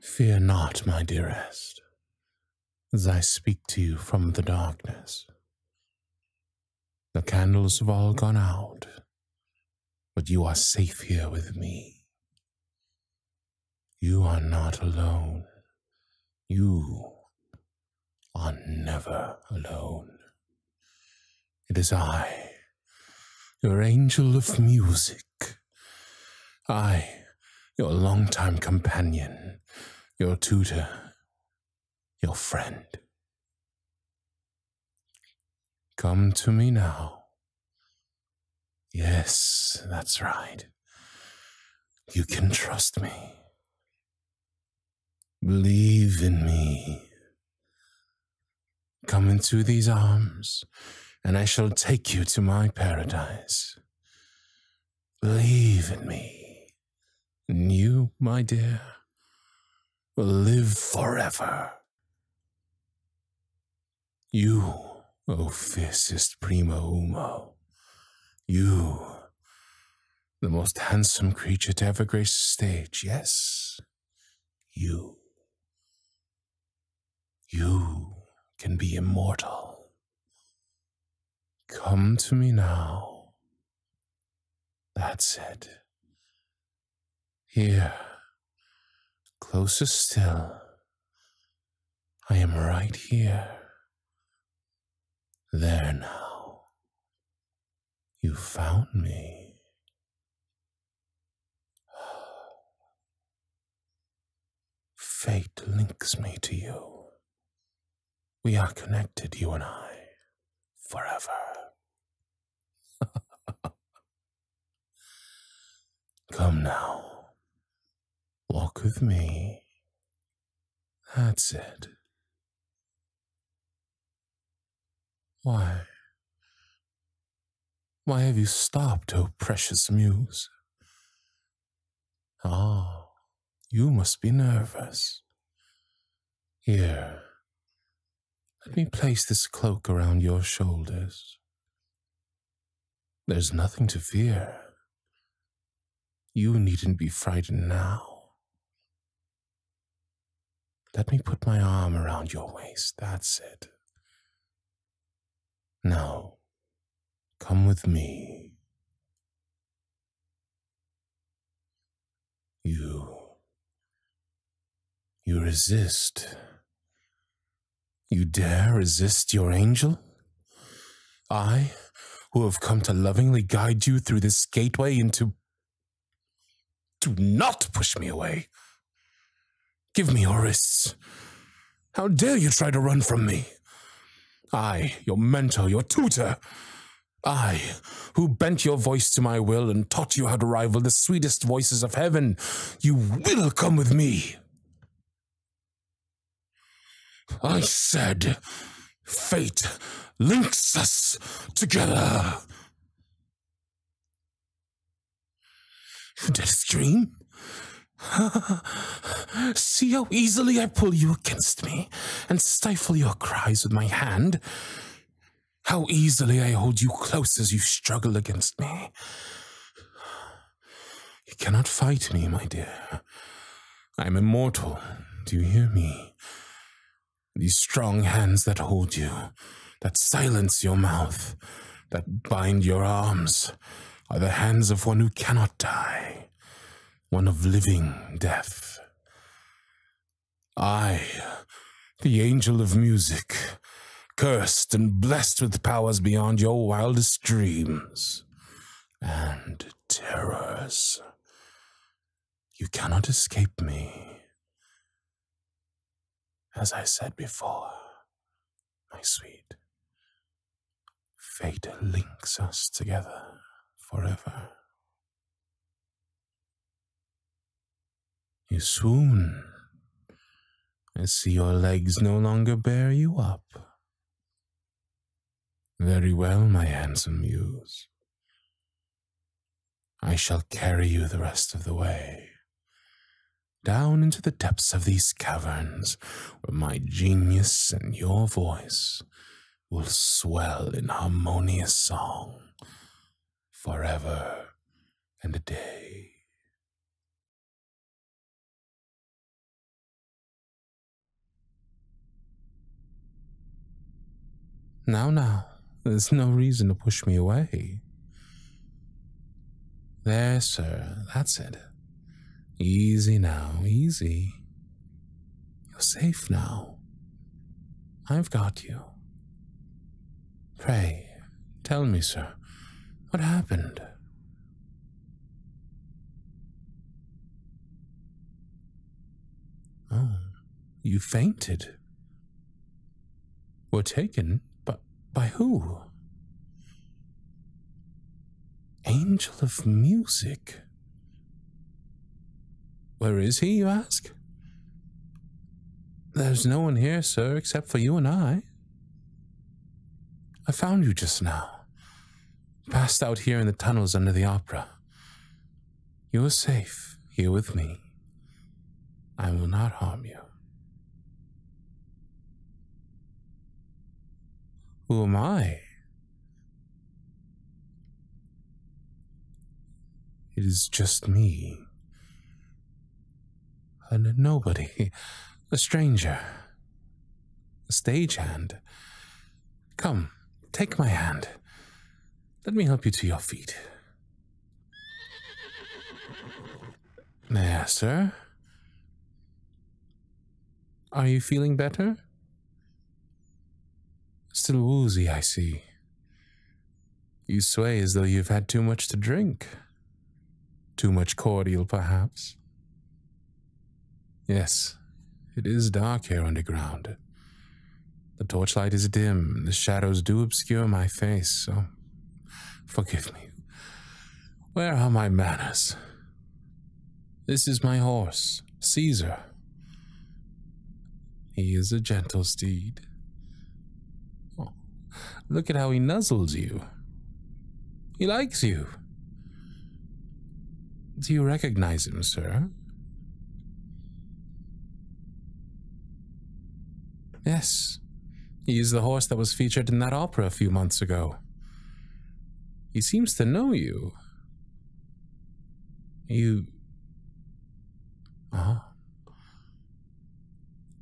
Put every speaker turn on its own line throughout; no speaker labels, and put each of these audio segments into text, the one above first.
Fear not, my dearest as I speak to you from the darkness. The candles have all gone out, but you are safe here with me. You are not alone. You are never alone. It is I, your angel of music. I your long-time companion, your tutor, your friend. Come to me now. Yes, that's right. You can trust me. Believe in me. Come into these arms, and I shall take you to my paradise. Believe in me. And you, my dear, will live forever. You, O oh fiercest prima umo, you, the most handsome creature to ever grace the stage, yes, you. You can be immortal. Come to me now. That's it. Here, closer still. I am right here. There now. You found me. Fate links me to you. We are connected, you and I, forever. Come now. Walk with me. That's it. Why? Why have you stopped, O oh precious muse? Ah, you must be nervous. Here, let me place this cloak around your shoulders. There's nothing to fear. You needn't be frightened now. Let me put my arm around your waist, that's it. Now, Come with me. You. You resist. You dare resist your angel? I, who have come to lovingly guide you through this gateway into. Do not push me away. Give me your how dare you try to run from me? I, your mentor, your tutor. I, who bent your voice to my will and taught you how to rival the sweetest voices of heaven, you will come with me. I said, fate links us together. Did a scream? See how easily I pull you against me and stifle your cries with my hand? How easily I hold you close as you struggle against me. You cannot fight me, my dear. I am immortal. Do you hear me? These strong hands that hold you, that silence your mouth, that bind your arms, are the hands of one who cannot die one of living death. I, the angel of music, cursed and blessed with powers beyond your wildest dreams and terrors. You cannot escape me. As I said before, my sweet. Fate links us together forever. You swoon. I see your legs no longer bear you up. Very well, my handsome muse. I shall carry you the rest of the way, down into the depths of these caverns, where my genius and your voice will swell in harmonious song forever and a day. Now, now, there's no reason to push me away. There, sir, that's it. Easy now, easy. You're safe now. I've got you. Pray, tell me, sir, what happened? Oh, you fainted. Were taken, but by who? Angel of Music? Where is he, you ask? There's no one here, sir, except for you and I. I found you just now, passed out here in the tunnels under the opera. You are safe here with me. I will not harm you. Who am I? It is just me. A nobody, a stranger, a stagehand. Come, take my hand. Let me help you to your feet. There, sir. Are you feeling better? Still woozy, I see. You sway as though you've had too much to drink. Too much cordial, perhaps. Yes, it is dark here underground. The torchlight is dim, the shadows do obscure my face, so forgive me. Where are my manners? This is my horse, Caesar. He is a gentle steed. Oh, look at how he nuzzles you. He likes you. Do you recognize him, sir? Yes, he is the horse that was featured in that opera a few months ago. He seems to know you. You. Oh.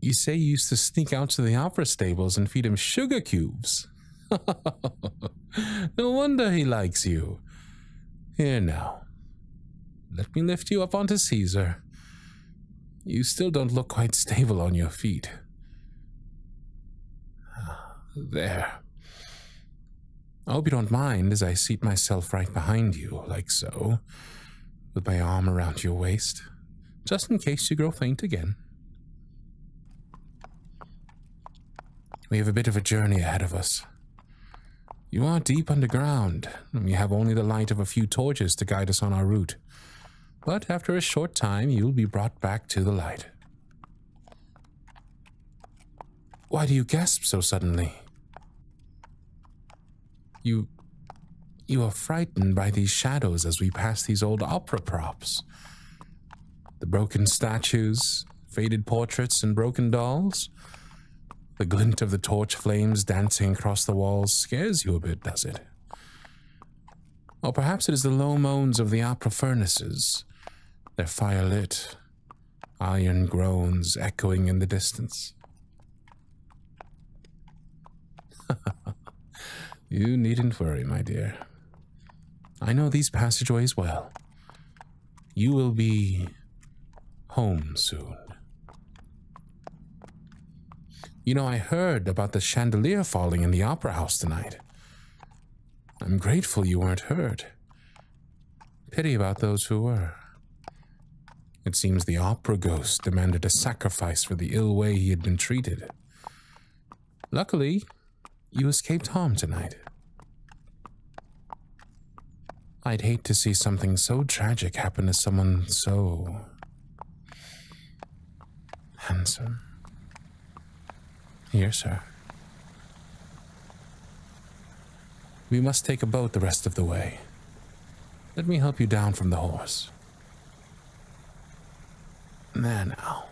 You say you used to sneak out to the opera stables and feed him sugar cubes. no wonder he likes you. Here now. Let me lift you up onto Caesar. You still don't look quite stable on your feet. There. I hope you don't mind as I seat myself right behind you, like so, with my arm around your waist, just in case you grow faint again. We have a bit of a journey ahead of us. You are deep underground, and we have only the light of a few torches to guide us on our route. But after a short time, you'll be brought back to the light. Why do you gasp so suddenly? You... You are frightened by these shadows as we pass these old opera props. The broken statues, faded portraits, and broken dolls. The glint of the torch flames dancing across the walls scares you a bit, does it? Or perhaps it is the low moans of the opera furnaces, their fire lit, iron groans echoing in the distance. you needn't worry, my dear. I know these passageways well. You will be home soon. You know, I heard about the chandelier falling in the opera house tonight. I'm grateful you weren't hurt. Pity about those who were. It seems the opera ghost demanded a sacrifice for the ill way he had been treated. Luckily, you escaped harm tonight. I'd hate to see something so tragic happen to someone so Hansom. Here, sir. We must take a boat the rest of the way. Let me help you down from the horse. There now.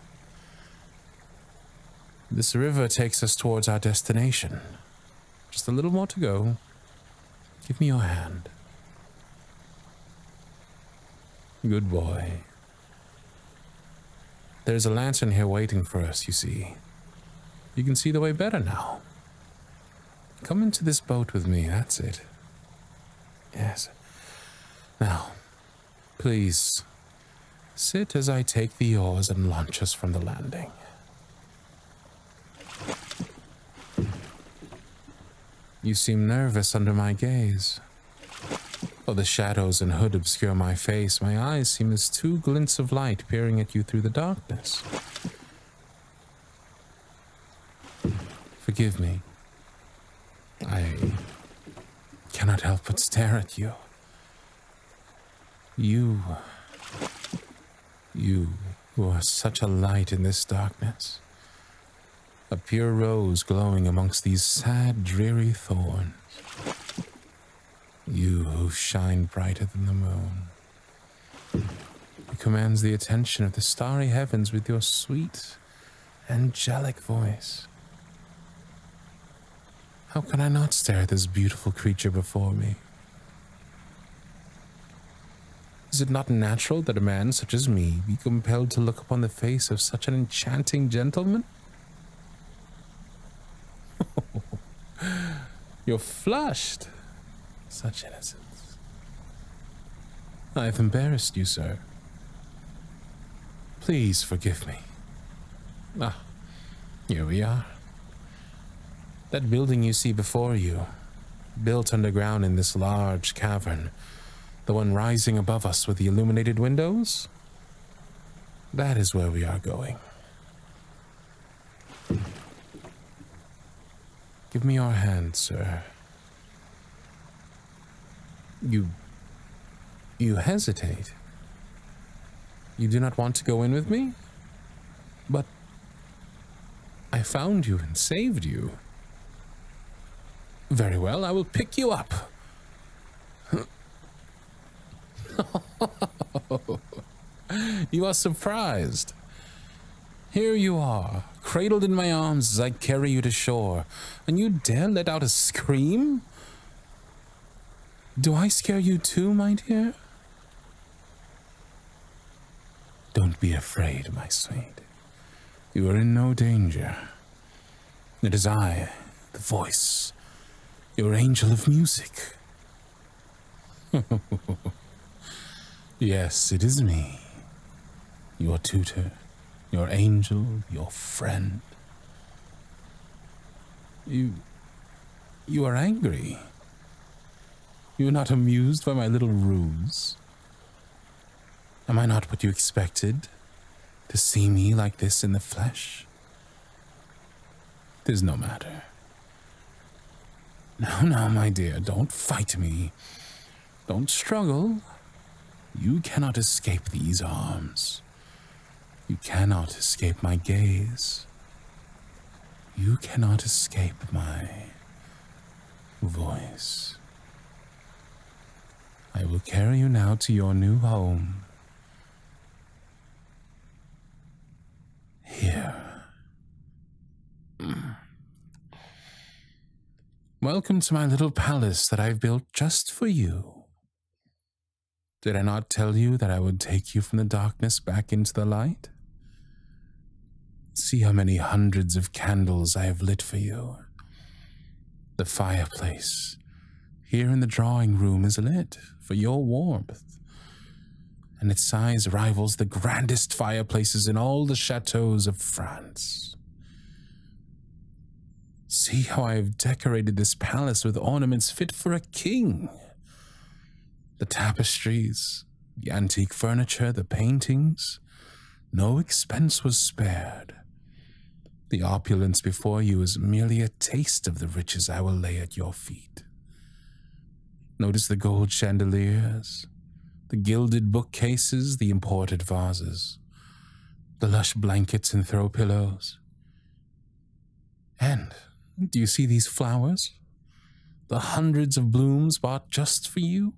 This river takes us towards our destination. Just a little more to go. Give me your hand. Good boy. There's a lantern here waiting for us, you see. You can see the way better now. Come into this boat with me, that's it. Yes. Now, please, sit as I take the oars and launch us from the landing. You seem nervous under my gaze. Though the shadows and hood obscure my face, my eyes seem as two glints of light peering at you through the darkness. Forgive me. I cannot help but stare at you. You. You who are such a light in this darkness a pure rose glowing amongst these sad, dreary thorns. You who shine brighter than the moon, who commands the attention of the starry heavens with your sweet, angelic voice. How can I not stare at this beautiful creature before me? Is it not natural that a man such as me be compelled to look upon the face of such an enchanting gentleman? You're flushed. Such innocence. I have embarrassed you, sir. Please forgive me. Ah, here we are. That building you see before you, built underground in this large cavern, the one rising above us with the illuminated windows? That is where we are going. Give me your hand, sir. You. You hesitate. You do not want to go in with me? But. I found you and saved you. Very well, I will pick you up. you are surprised. Here you are, cradled in my arms as I carry you to shore, and you dare let out a scream? Do I scare you too, my dear? Don't be afraid, my sweet. You are in no danger. It is I, the voice, your angel of music. yes, it is me, your tutor, your angel, your friend. You. you are angry. You are not amused by my little ruse. Am I not what you expected? To see me like this in the flesh? There's no matter. Now, now, my dear, don't fight me. Don't struggle. You cannot escape these arms. You cannot escape my gaze. You cannot escape my voice. I will carry you now to your new home. Here. Mm. Welcome to my little palace that I've built just for you. Did I not tell you that I would take you from the darkness back into the light? See how many hundreds of candles I have lit for you. The fireplace here in the drawing room is lit for your warmth, and its size rivals the grandest fireplaces in all the chateaux of France. See how I have decorated this palace with ornaments fit for a king. The tapestries, the antique furniture, the paintings, no expense was spared. The opulence before you is merely a taste of the riches I will lay at your feet. Notice the gold chandeliers, the gilded bookcases, the imported vases, the lush blankets and throw pillows. And do you see these flowers? The hundreds of blooms bought just for you?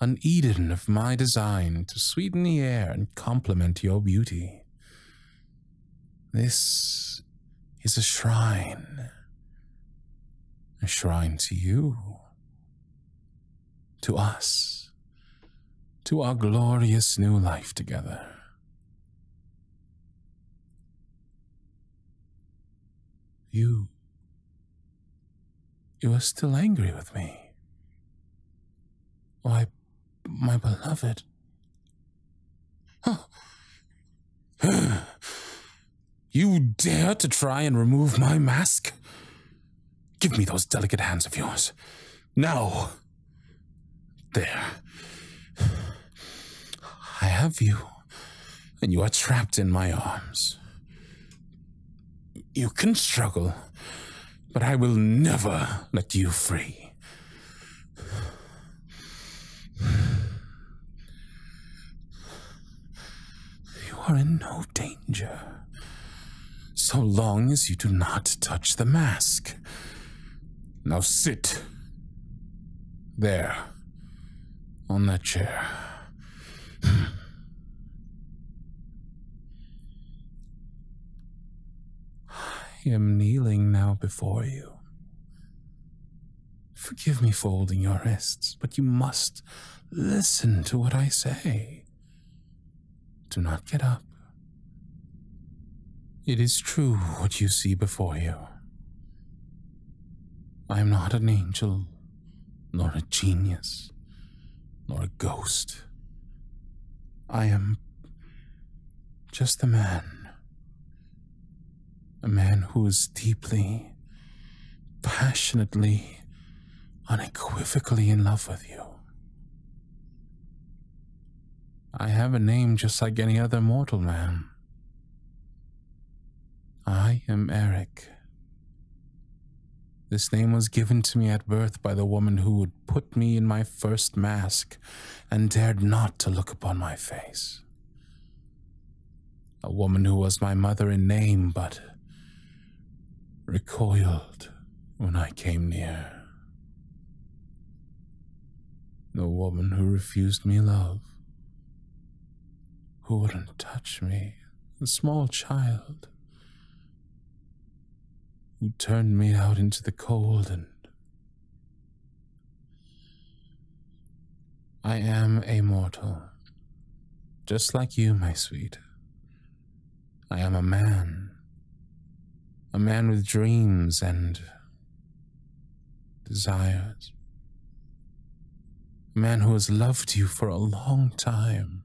an Eden of my design to sweeten the air and complement your beauty. This is a shrine, a shrine to you, to us, to our glorious new life together. You you are still angry with me. Why, my beloved. Huh. you dare to try and remove my mask? Give me those delicate hands of yours. Now. There. I have you, and you are trapped in my arms. You can struggle, but I will never let you free. You are in no danger, so long as you do not touch the mask. Now sit there on that chair. I am kneeling now before you. Forgive me for holding your wrists, but you must listen to what I say. Do not get up. It is true what you see before you. I am not an angel nor a genius, nor a ghost. I am just a man. A man who is deeply, passionately, unequivocally in love with you. I have a name just like any other mortal man. I am Eric. This name was given to me at birth by the woman who would put me in my first mask and dared not to look upon my face. A woman who was my mother in name, but recoiled when I came near. The woman who refused me love, who wouldn't touch me, a small child? Who turned me out into the cold and. I am a mortal, just like you, my sweet. I am a man, a man with dreams and desires. A man who has loved you for a long time.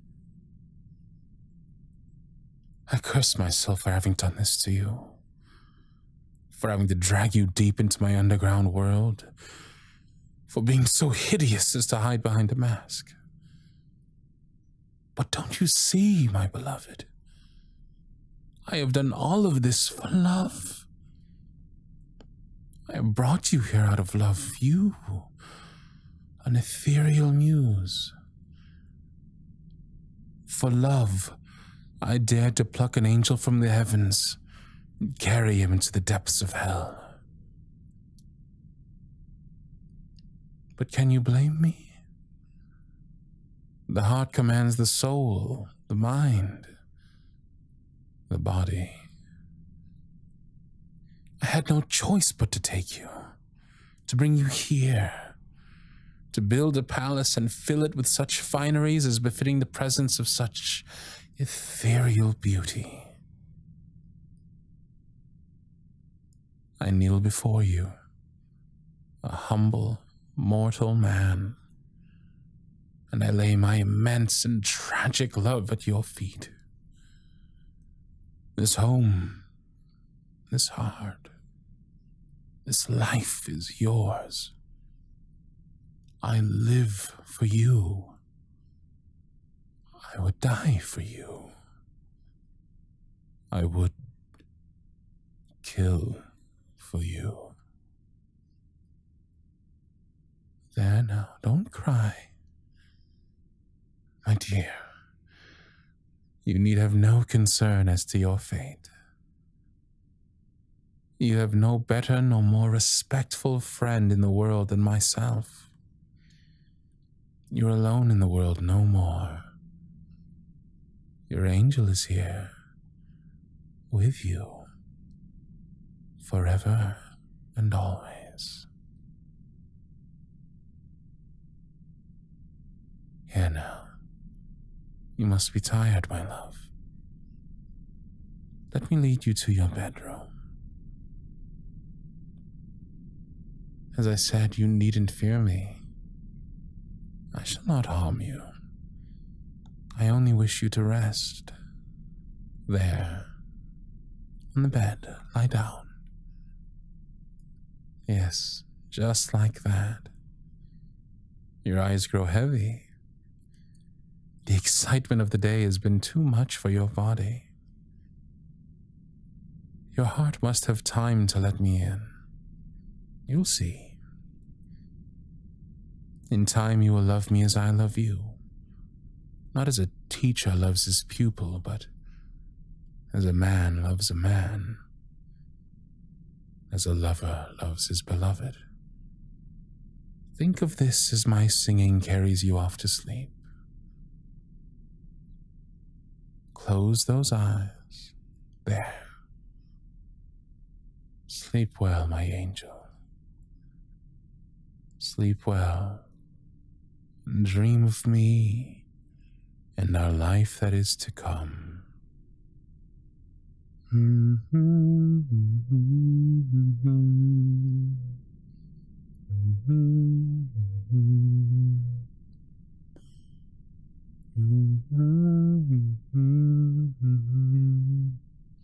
I curse myself for having done this to you. For having to drag you deep into my underground world. For being so hideous as to hide behind a mask. But don't you see, my beloved? I have done all of this for love. I brought you here out of love. You, an ethereal muse. For love, I dared to pluck an angel from the heavens and carry him into the depths of hell. But can you blame me? The heart commands the soul, the mind the body. I had no choice but to take you, to bring you here, to build a palace and fill it with such fineries as befitting the presence of such ethereal beauty. I kneel before you, a humble mortal man, and I lay my immense and tragic love at your feet. This home, this heart, this life is yours. I live for you. I would die for you. I would kill for you. There now, don't cry. My dear, you need have no concern as to your fate. You have no better nor more respectful friend in the world than myself. You're alone in the world no more. Your angel is here, with you, forever and always. Anna, you must be tired, my love. Let me lead you to your bedroom. As I said, you needn't fear me. I shall not harm you. I only wish you to rest. There, on the bed, lie down. Yes, just like that. Your eyes grow heavy. The excitement of the day has been too much for your body. Your heart must have time to let me in. You'll see. In time, you will love me as I love you, not as a teacher loves his pupil, but as a man loves a man, as a lover loves his beloved. Think of this as my singing carries you off to sleep. Close those eyes. There. Sleep well, my angel. Sleep well, dream of me and our life that is to come.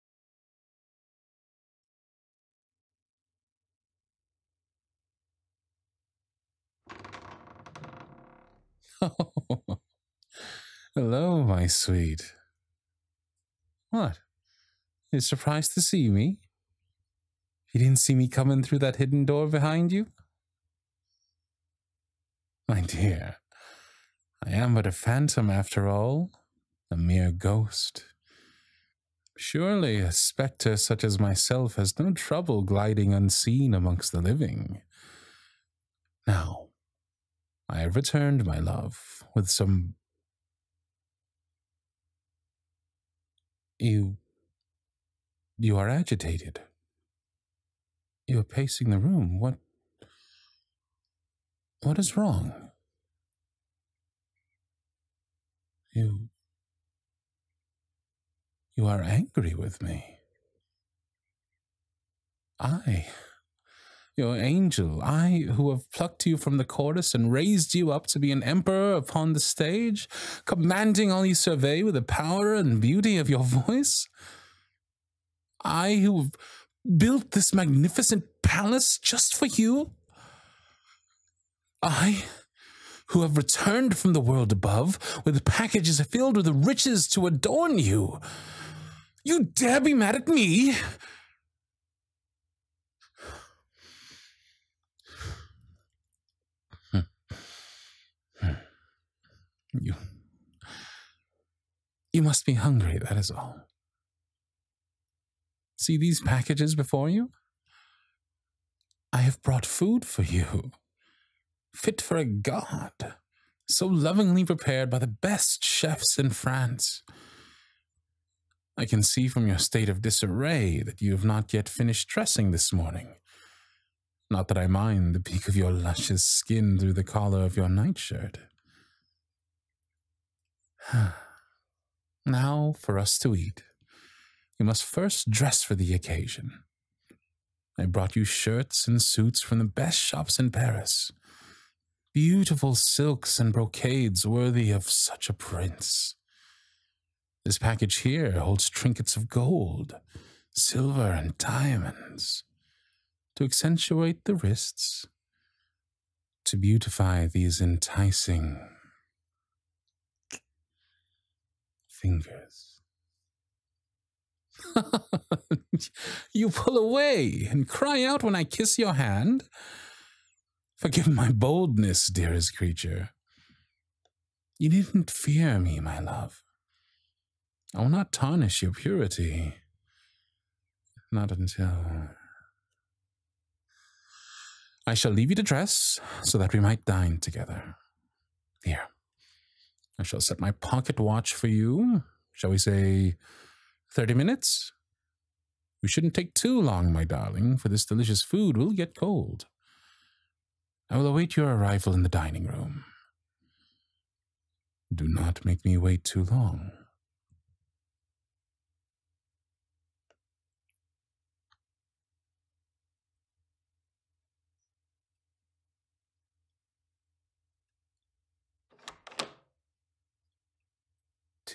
Hello, my sweet. What? you surprised to see me? You didn't see me coming through that hidden door behind you? My dear, I am but a phantom after all, a mere ghost. Surely a spectre such as myself has no trouble gliding unseen amongst the living. Now, I have returned, my love, with some. You. You are agitated. You are pacing the room. What. What is wrong? You. You are angry with me. I, your angel, I who have plucked you from the chorus and raised you up to be an emperor upon the stage, commanding all you survey with the power and beauty of your voice, I who built this magnificent palace just for you? I who have returned from the world above with packages filled with riches to adorn you. You dare be mad at me? Hmm. Hmm. You. You must be hungry, that is all. See these packages before you? I have brought food for you, fit for a god, so lovingly prepared by the best chefs in France. I can see from your state of disarray that you have not yet finished dressing this morning. Not that I mind the peek of your luscious skin through the collar of your nightshirt. now for us to eat. You must first dress for the occasion. I brought you shirts and suits from the best shops in Paris. Beautiful silks and brocades worthy of such a prince. This package here holds trinkets of gold, silver, and diamonds. To accentuate the wrists, to beautify these enticing fingers. you pull away and cry out when I kiss your hand. Forgive my boldness, dearest creature. You needn't fear me, my love. I oh, will not tarnish your purity. Not until. I shall leave you to dress so that we might dine together. Here. I shall set my pocket watch for you. Shall we say 30 minutes? We shouldn't take too long, my darling, for this delicious food will get cold. I will await your arrival in the dining room. Do not make me wait too long.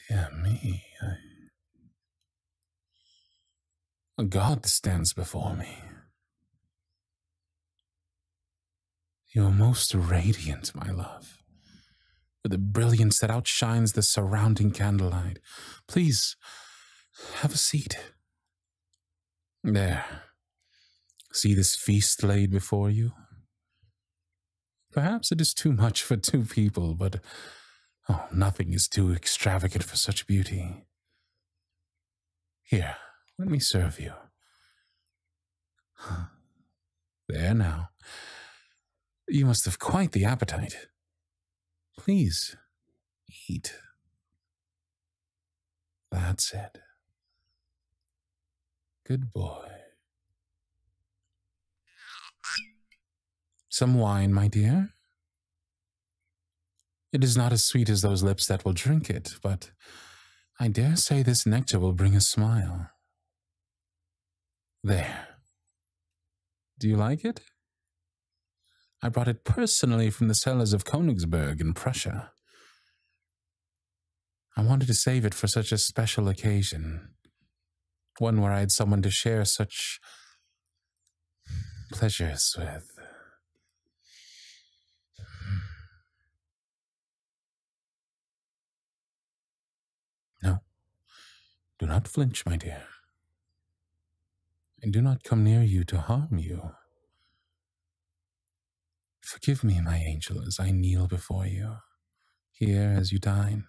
Dear me, A god stands before me. You are most radiant, my love, with a brilliance that outshines the surrounding candlelight. Please, have a seat. There. See this feast laid before you? Perhaps it is too much for two people, but oh, nothing is too extravagant for such beauty. Here, let me serve you. There now. You must have quite the appetite. Please, eat. That's it. Good boy. Some wine, my dear. It is not as sweet as those lips that will drink it, but I dare say this nectar will bring a smile. There. Do you like it? I brought it personally from the cellars of Königsberg in Prussia. I wanted to save it for such a special occasion, one where I had someone to share such pleasures with. No, do not flinch, my dear. and do not come near you to harm you. Forgive me, my angel, as I kneel before you, here as you dine.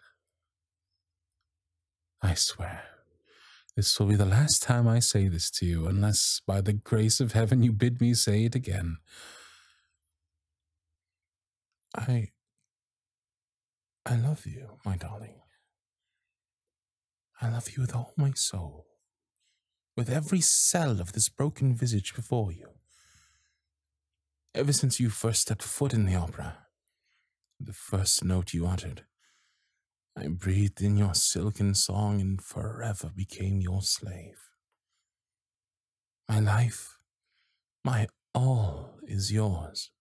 I swear, this will be the last time I say this to you, unless by the grace of heaven you bid me say it again. I. I love you, my darling. I love you with all my soul, with every cell of this broken visage before you. Ever since you first stepped foot in the opera, the first note you uttered, I breathed in your silken song and forever became your slave. My life, my all is yours,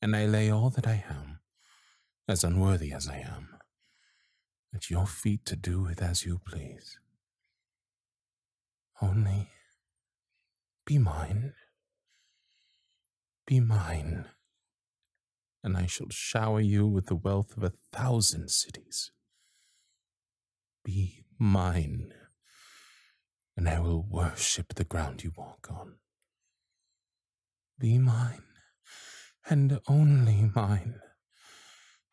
and I lay all that I am, as unworthy as I am, at your feet to do with as you please. Only be mine, be mine, and I shall shower you with the wealth of a thousand cities be mine, and I will worship the ground you walk on. Be mine, and only mine,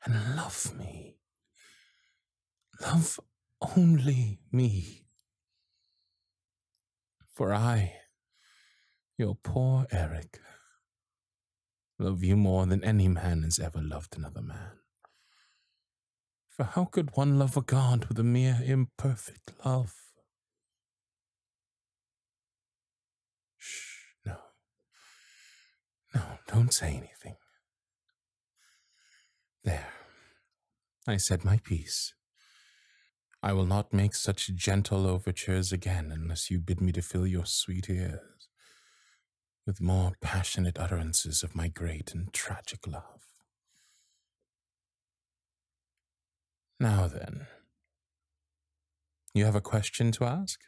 and love me. Love only me. For I, your poor Eric, love you more than any man has ever loved another man. For how could one love a God with a mere imperfect love? Shh, no. No, don't say anything. There. I said my piece. I will not make such gentle overtures again unless you bid me to fill your sweet ears with more passionate utterances of my great and tragic love. Now then, you have a question to ask?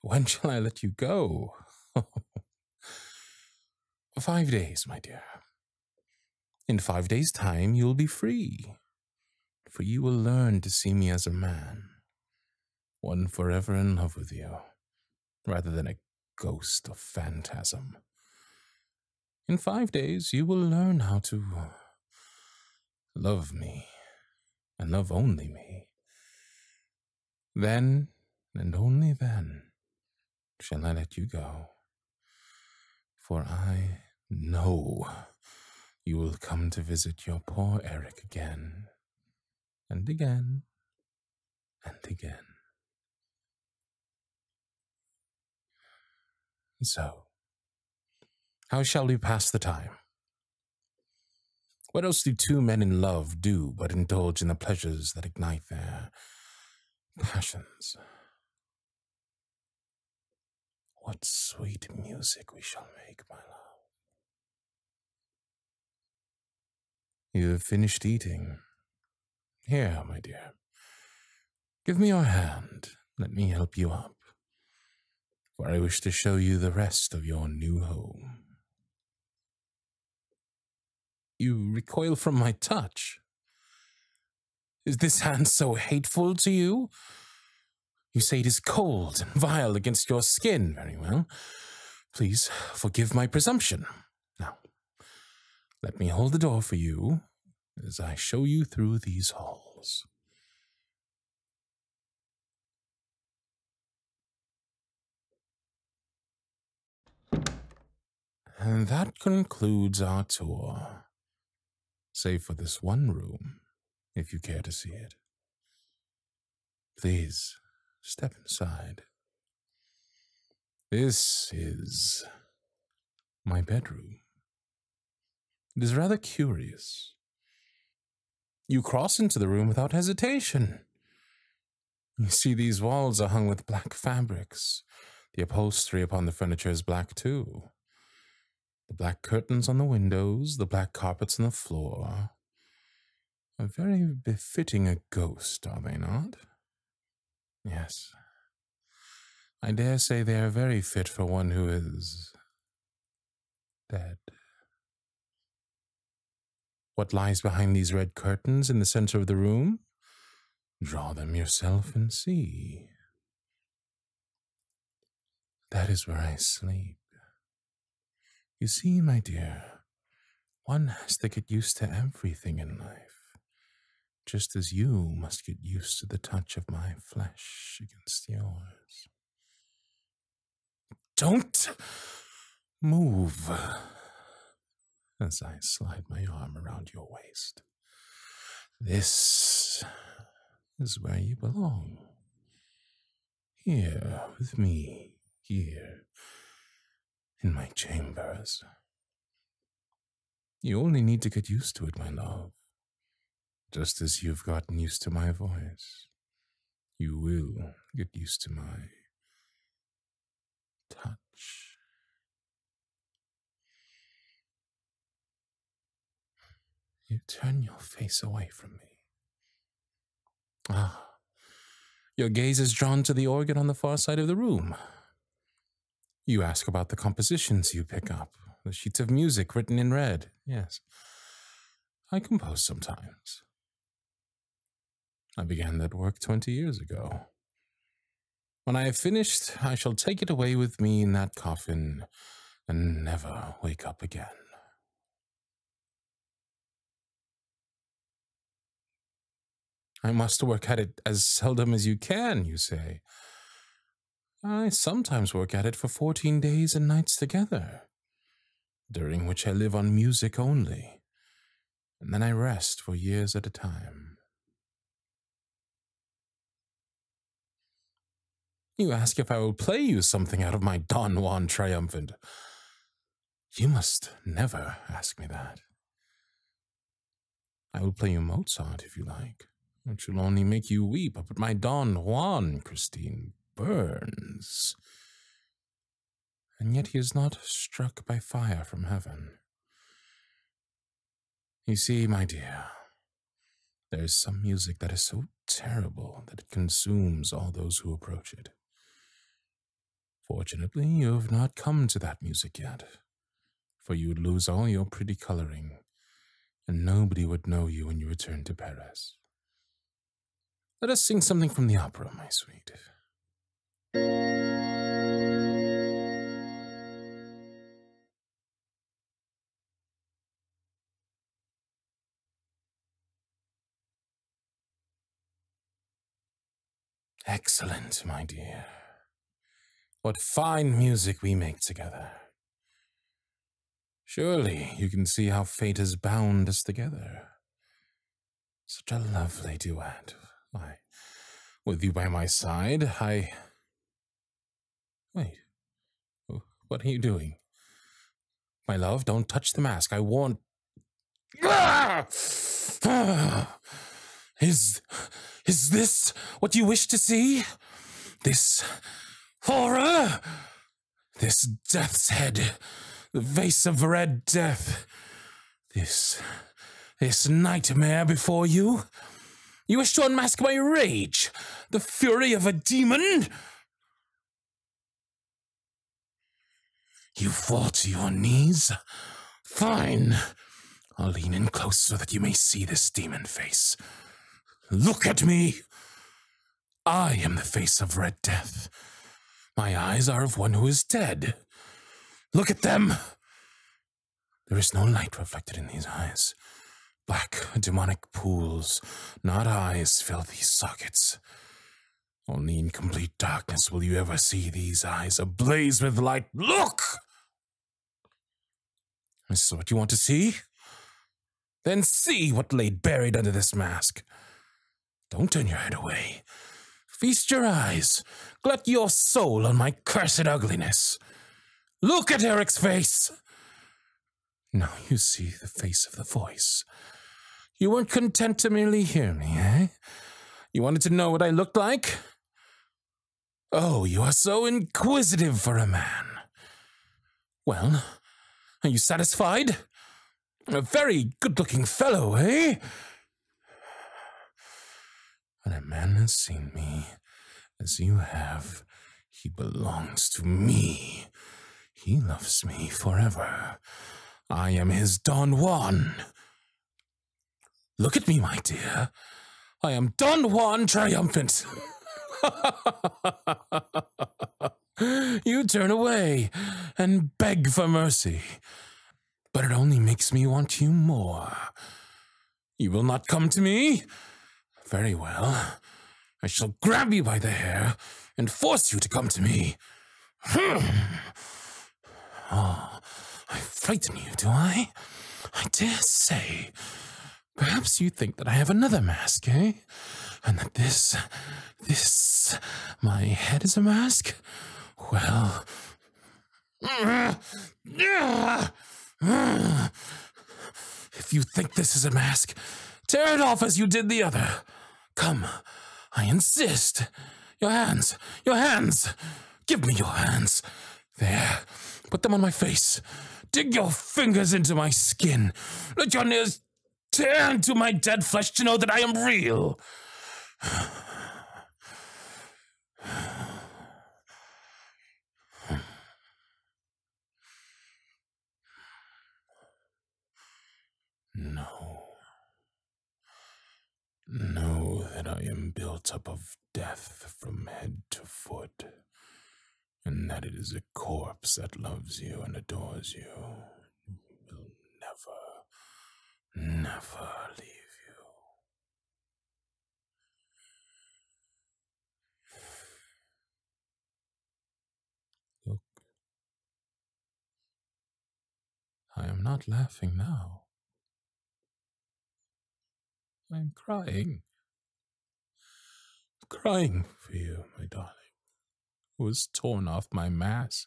When shall I let you go? five days, my dear. In five days' time, you'll be free, for you will learn to see me as a man, one forever in love with you, rather than a ghost or phantasm. In five days, you will learn how to love me and love only me. Then, and only then, shall I let you go. For I know you will come to visit your poor Eric again, and again, and again. So, how shall we pass the time? What else do two men in love do but indulge in the pleasures that ignite their passions? What sweet music we shall make, my love. You have finished eating. Here, my dear. Give me your hand. Let me help you up. For I wish to show you the rest of your new home. You recoil from my touch. Is this hand so hateful to you? You say it is cold and vile against your skin. Very well. Please forgive my presumption. Now, let me hold the door for you as I show you through these halls. And that concludes our tour, save for this one room, if you care to see it. Please step inside. This is my bedroom. It is rather curious. You cross into the room without hesitation. You see, these walls are hung with black fabrics. The upholstery upon the furniture is black, too. The black curtains on the windows, the black carpets on the floor. Are very befitting a ghost, are they not? Yes. I dare say they are very fit for one who is dead. What lies behind these red curtains in the center of the room? Draw them yourself and see. That is where I sleep. You see, my dear, one has to get used to everything in life, just as you must get used to the touch of my flesh against yours. Don't move as I slide my arm around your waist. This is where you belong here with me, here in my chambers. You only need to get used to it, my love. Just as you've gotten used to my voice, you will get used to my touch. You turn your face away from me. Ah, your gaze is drawn to the organ on the far side of the room. You ask about the compositions you pick up, the sheets of music written in red. Yes, I compose sometimes. I began that work 20 years ago. When I have finished, I shall take it away with me in that coffin and never wake up again. I must work at it as seldom as you can, you say. I sometimes work at it for fourteen days and nights together, during which I live on music only, and then I rest for years at a time. You ask if I will play you something out of my Don Juan Triumphant. You must never ask me that. I will play you Mozart if you like, which will only make you weep, but my Don Juan, Christine, burns. And yet he is not struck by fire from heaven. You see, my dear, there is some music that is so terrible that it consumes all those who approach it. Fortunately, you have not come to that music yet, for you would lose all your pretty coloring, and nobody would know you when you returned to Paris. Let us sing something from the opera, my sweet. Excellent, my dear. What fine music we make together. Surely you can see how fate has bound us together. Such a lovely duet. I, with you by my side, I Wait, what are you doing? My love, don't touch the mask. I warn. Is. Is this what you wish to see? This horror? This death's head? The vase of red death? This. this nightmare before you? You wish to unmask my rage, the fury of a demon? You fall to your knees? Fine. I'll lean in close so that you may see this demon face. Look at me! I am the face of Red Death. My eyes are of one who is dead. Look at them! There is no light reflected in these eyes. Black, demonic pools, not eyes, fill these sockets. Only in complete darkness will you ever see these eyes ablaze with light. Look! This is what you want to see? Then see what lay buried under this mask. Don't turn your head away. Feast your eyes. Glut your soul on my cursed ugliness. Look at Eric's face! Now you see the face of the voice. You weren't content to merely hear me, eh? You wanted to know what I looked like? Oh, you are so inquisitive for a man. Well, are you satisfied? A very good-looking fellow, eh? When a man has seen me as you have, he belongs to me. He loves me forever. I am his Don Juan. Look at me, my dear. I am Don Juan triumphant. you turn away and beg for mercy. But it only makes me want you more. You will not come to me? Very well. I shall grab you by the hair and force you to come to me. oh, I frighten you, do I? I dare say. Perhaps you think that I have another mask, eh? And that this, this, my head is a mask? Well. If you think this is a mask, tear it off as you did the other. Come, I insist. Your hands, your hands. Give me your hands. There, put them on my face. Dig your fingers into my skin. Let your nails tear into my dead flesh to know that I am real. No. Know that I am built up of death from head to foot, and that it is a corpse that loves you and adores you, will never, never leave you. Look, I am not laughing now. I'm crying. crying for you, my darling, who was torn off my mask,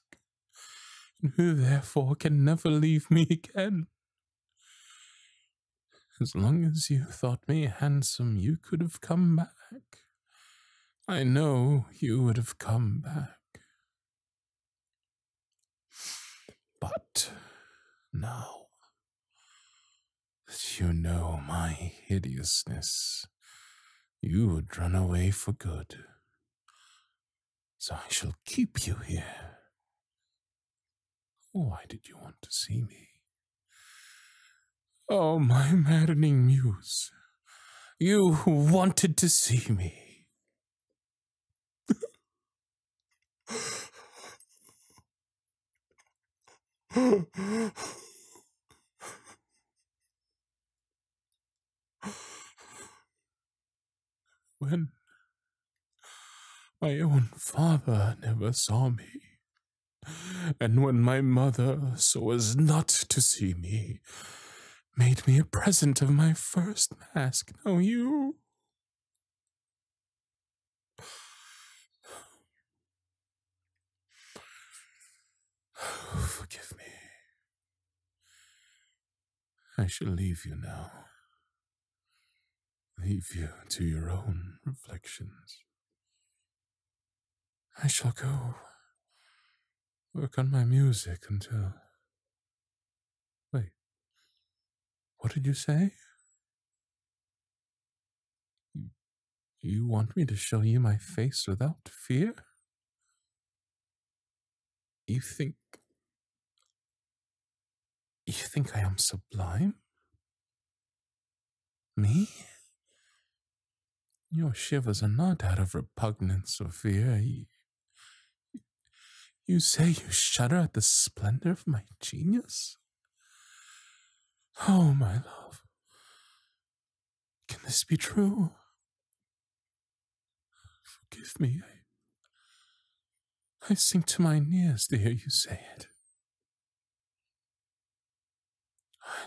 and who therefore can never leave me again. As long as you thought me handsome, you could have come back. I know you would have come back. But now as you know my hideousness, you would run away for good. So I shall keep you here why did you want to see me? Oh, my maddening muse, you who wanted to see me. when my own father never saw me, and when my mother, so as not to see me, made me a present of my first mask, now you. forgive me. I shall leave you now leave you to your own reflections. I shall go work on my music until. Wait, what did you say? You, want me to show you my face without fear? You think you think I am sublime? Me? Your shivers are not out of repugnance or fear. You, say you shudder at the splendor of my genius? Oh, my love, can this be true? Forgive me, I, I sink to my knees to hear you say it.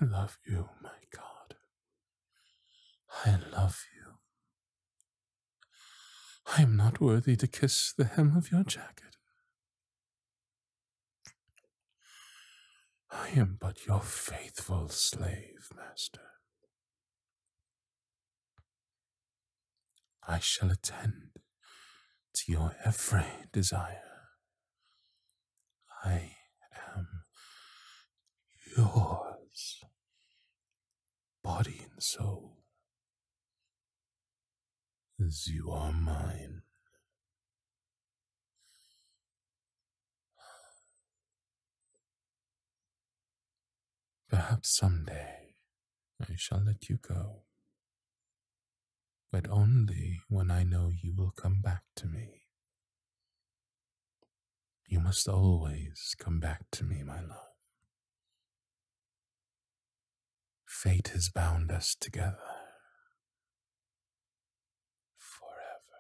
I love you, my God. I love you. I am not worthy to kiss the hem of your jacket. I am but your faithful slave, master. I shall attend to your every desire. I am yours, body and soul, as you are mine. Perhaps someday I shall let you go but only when I know you will come back to me. You must always come back to me, my love. Fate has bound us together. forever.